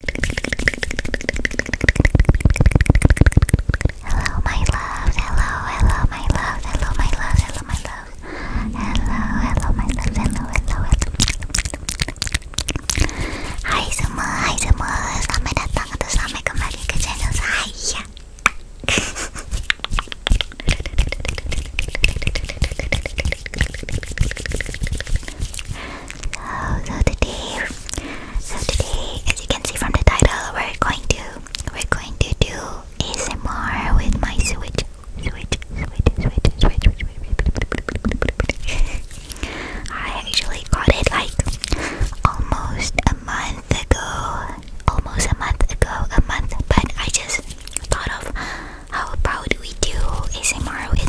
Hello, my loves. Hello, hello, my loves. Hello, my loves. Hello, my loves. Hello, hello, my loves. Hello, hello, hello. Hai semua, hai semua. Selamat datang atau selamat kembali ke channel saya. So, so today, so today, as you can see from the title, we're going to we're going to do ASMR with my switch, switch, switch, switch, switch. switch, switch. I actually got it like almost a month ago, almost a month ago, a month. But I just thought of how about we do ASMR with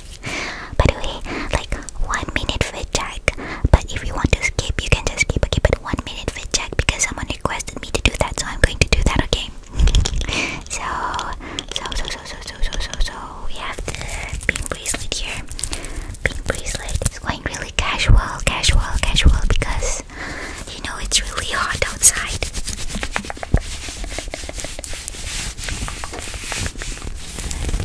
By the way, like one minute for a check. But if you want to skip, you can just skip. it. but one minute for a check because someone requested me to do that, so I'm going to do that. Okay. so, so, so, so, so, so, so, so, we have the pink bracelet here. Pink bracelet. It's going really casual, casual, casual because you know it's really hot outside.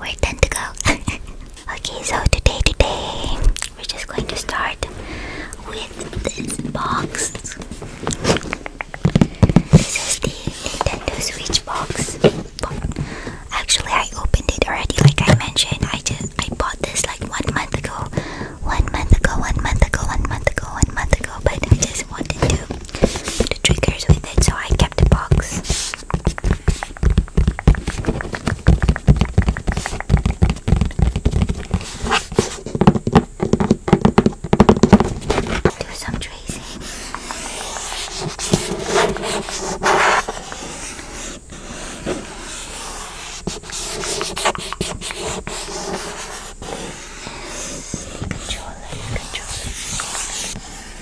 we're done go. okay, so today, today, we're just going to start with this box. This is the Nintendo Switch box. Actually, I opened it already, like I mentioned. I just I bought this like one month ago, one month ago, one month ago, one month ago, one month ago. But I just wanted to do the triggers with it, so I. Can kept the box. Do some tracing. Controller, controller.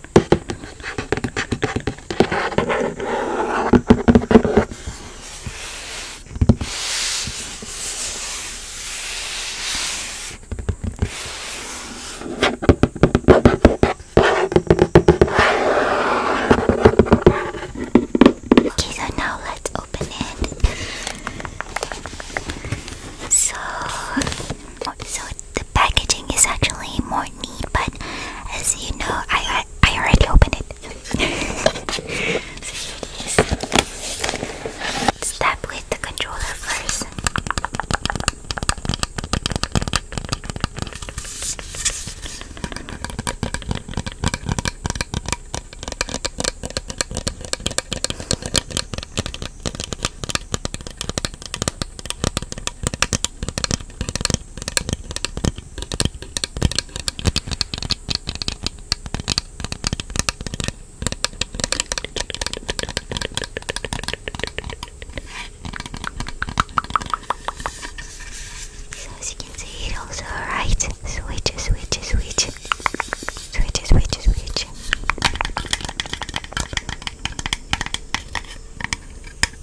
Okay, so now let's open it. So, so the packaging is actually more neat, but as you know, I I, already opened it. let with the controller first. So as you can see it also writes switch, switch, switch, switch, switch, switch.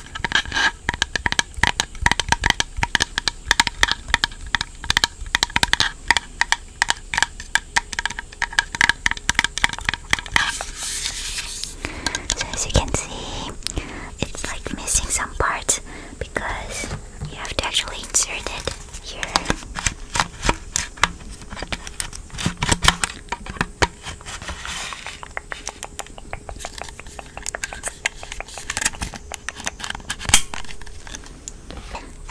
So as you can see, it's like missing some parts because you have to actually insert it here. And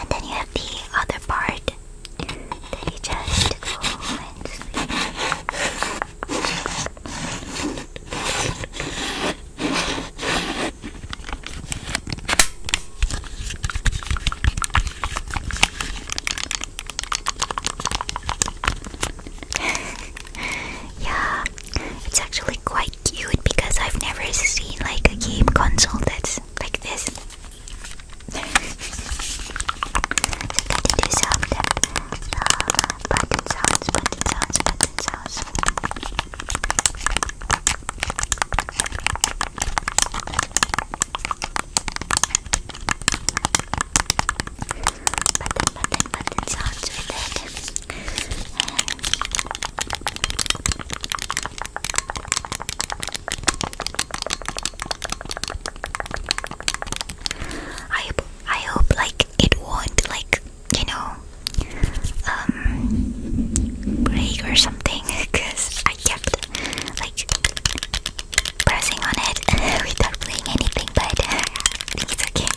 then you have the other part that you just go and sleep. yeah, it's actually quite cute because I've never seen like a game console that's like this. I hope, I hope like it won't like you know um break or something because I kept like pressing on it without playing anything but I think it's okay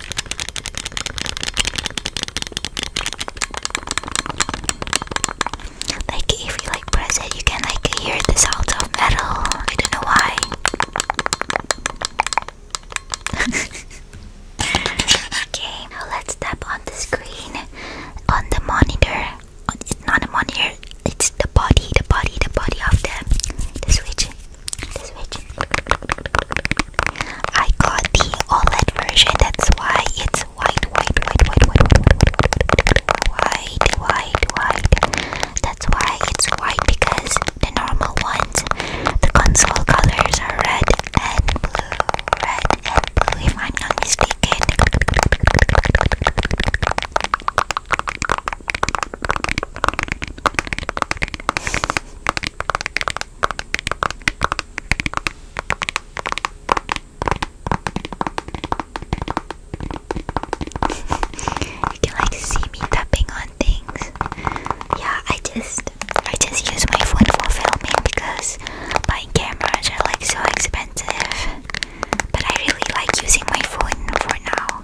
Like if you like press it, you can like hear the sound metal. I don't know why. okay, now let's tap on the screen, on the monitor. not a monitor. It's the body, the body, the body of the the the I got the OLED version, that's why it's white, white, white, white, white, white, white, white, That's why it's white because the normal ones, the console colors are red and blue, red and blue, if I'm not mistaken you can like see me tapping on things. Yeah, I just I just use my phone for filming because buying cameras are like so expensive. But I really like using my phone for now.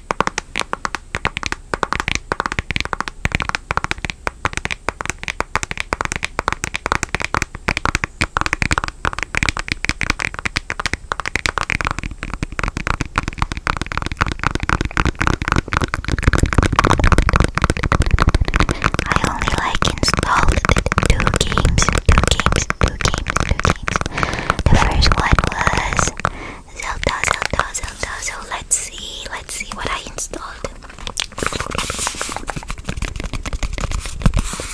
I only like installed two games, two games, two games, two games. The first one was Zelda, Zelda, Zelda. So let's see, let's see what I installed. The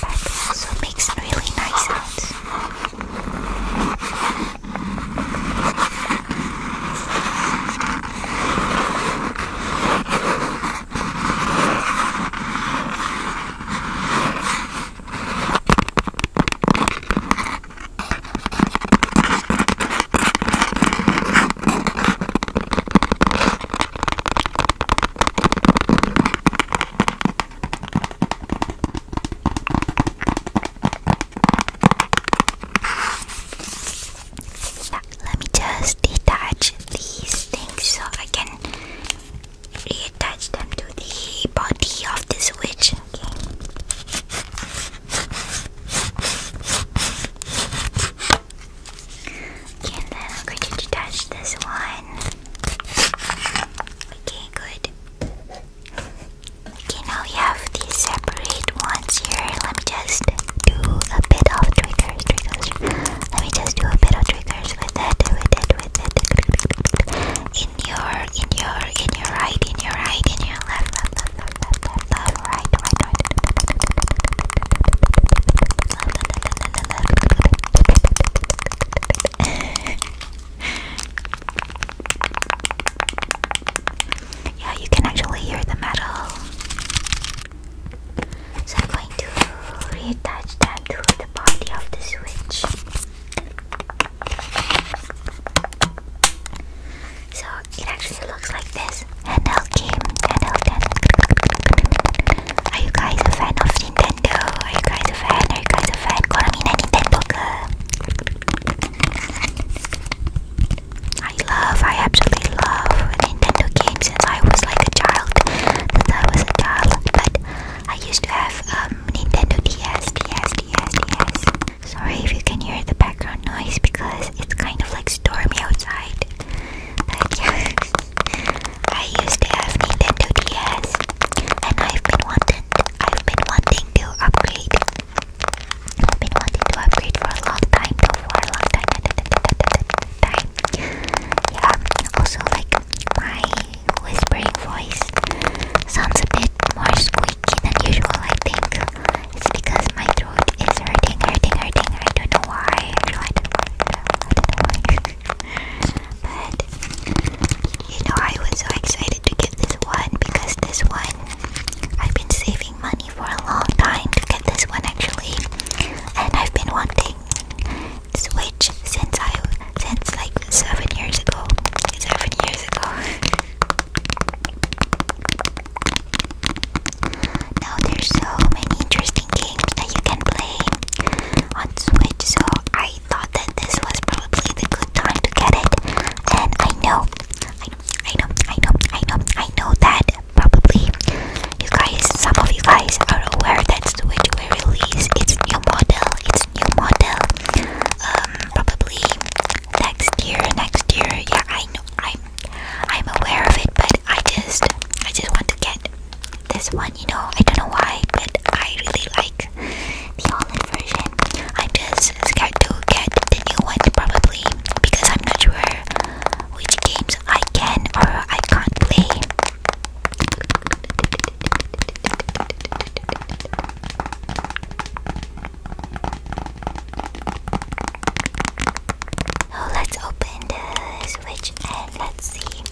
back also makes really nice sounds. Let me just detach these things so I can reattach them to the body of this witch and then I'm going to touch this one. Okay, good. Okay, now we have these separate ones here. Let me just do a bit of triggers, triggers. Let me just do a bit of triggers with it, with it, with it. In your, in your, in your right, in your right, in your left, left, yeah, you can actually hear the metal. So I'm going to reattach that to the body of the switch. So it actually looks like this. Handheld game, handheld, Are you guys a fan of Nintendo? Are you guys a fan? Are you guys a fan? Koromina Nintendo I love, I absolutely love Nintendo games since I was like a child. Since I was a child, but I used to have um, Nintendo DS, DS, DS, DS. Sorry if you can hear the background noise because it's kind of like stormy outside. But yeah, I used to have Nintendo DS, and I've been wanting, I've been wanting to upgrade. I've been wanting to upgrade for a long time, for a long time, time. Yeah. Also, like my whispering voice sounds a bit more squeaky than usual, I think. It's because my throat is hurting, hurting, hurting. I don't know why. I don't know why. I don't know why. but you know, I was so excited to get this one because this one I've been saving money for a long time to get this one actually, and I've been wanting this Switch since I since like seven years ago. Seven years ago. Now there's so many interesting games that you can play on Switch, so I thought that this was probably the good time to get it. And I know, I know, I know, I know, I know, I know that probably you guys, some of you guys are aware that Switch will release its new model, its new model, um, probably next year, next year. Yeah, I know. I'm I'm aware of it, but I just I just want to get this one. You know, I don't know why, but I really like the old version. I'm just scared to get the new one probably because I'm not sure which games I can or I can't play. Oh, let's open the switch and let's see.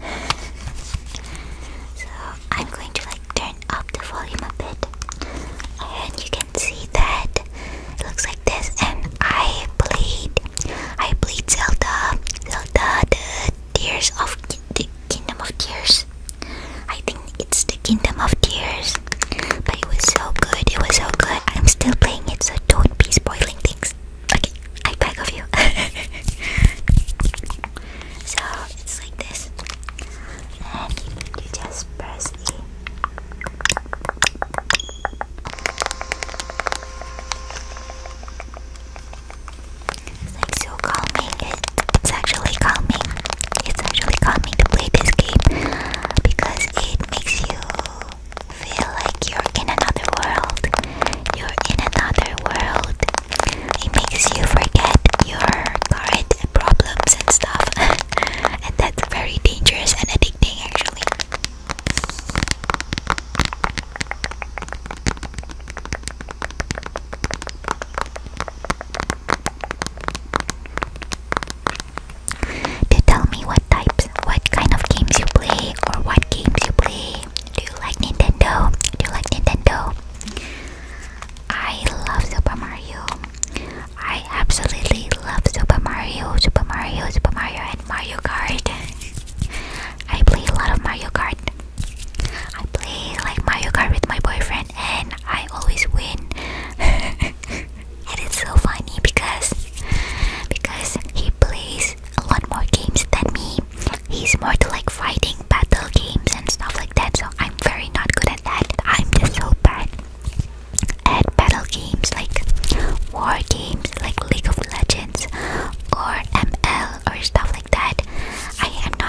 So I'm going to like turn up the volume a bit, and you can see that it looks like this. And I played, I played Zelda, Zelda, the Tears of Kingdom of Tears. I think it's the Kingdom of Tears. But it was so good, it was so good. I'm still playing it, so don't be spoiling things. Okay, I beg of you. so it's like this. you just press E. Like so. It's actually calming. It's actually calming to play this game because it makes you feel like you're in another world. You're in another world. It makes you forget your current problems and stuff. and that's very dangerous and addicting actually. To tell me what types, what kind of games you play, or what games you play. Do you like Nintendo? Do you like Nintendo? I love Super Mario. I absolutely love Super Mario, Super Mario, Super Mario, and Mario Kart. I play a lot of Mario Kart. I play like Mario Kart with my boyfriend and I always win. it's so funny because because he plays a lot more games than me. He's more to like fighting battle games and stuff like that. So I'm very not good at that. I'm just so bad at battle games like war games like League of Legends or ML or stuff like that. I am not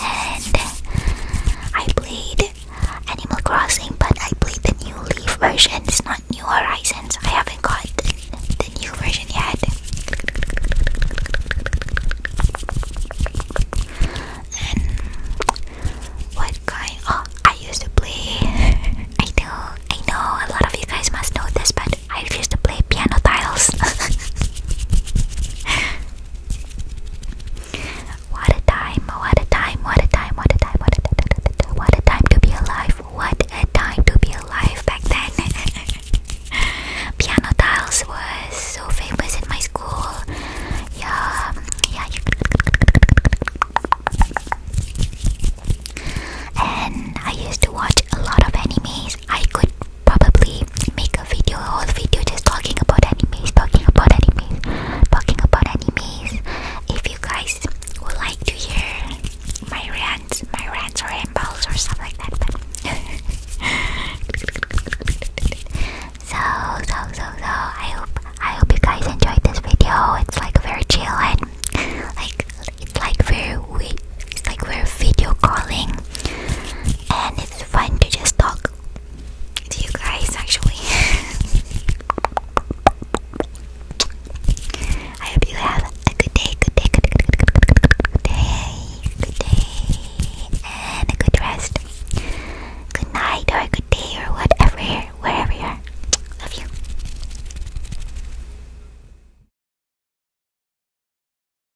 and I played Animal Crossing, but I played the new Leaf version. It's not New Horizons. I haven't got the new version yet. And what kind? Oh, I used to play. I know, I know. A lot of you guys must know this, but I used to play piano tiles. what a time, what a time, what a time, what a time, what a time, to be alive, what a time to be alive back then. piano tiles was so famous in my school. Yeah, yeah. And I used to watch a lot of anime. I could probably make a video, a whole video just talking about animes, talking about animes, talking about animes. If you guys would like to hear my rants, my rants or rambles or stuff like that. But so, so, so, so, I hope, I hope you guys enjoyed this video. It's like very chill and like it's like very we, it's like we're video calling, and it's fun to just talk to you guys actually. I hope you have a good day, good day, good, day, good day, and a good rest. Good night or good day or whatever, wherever you are. Love you.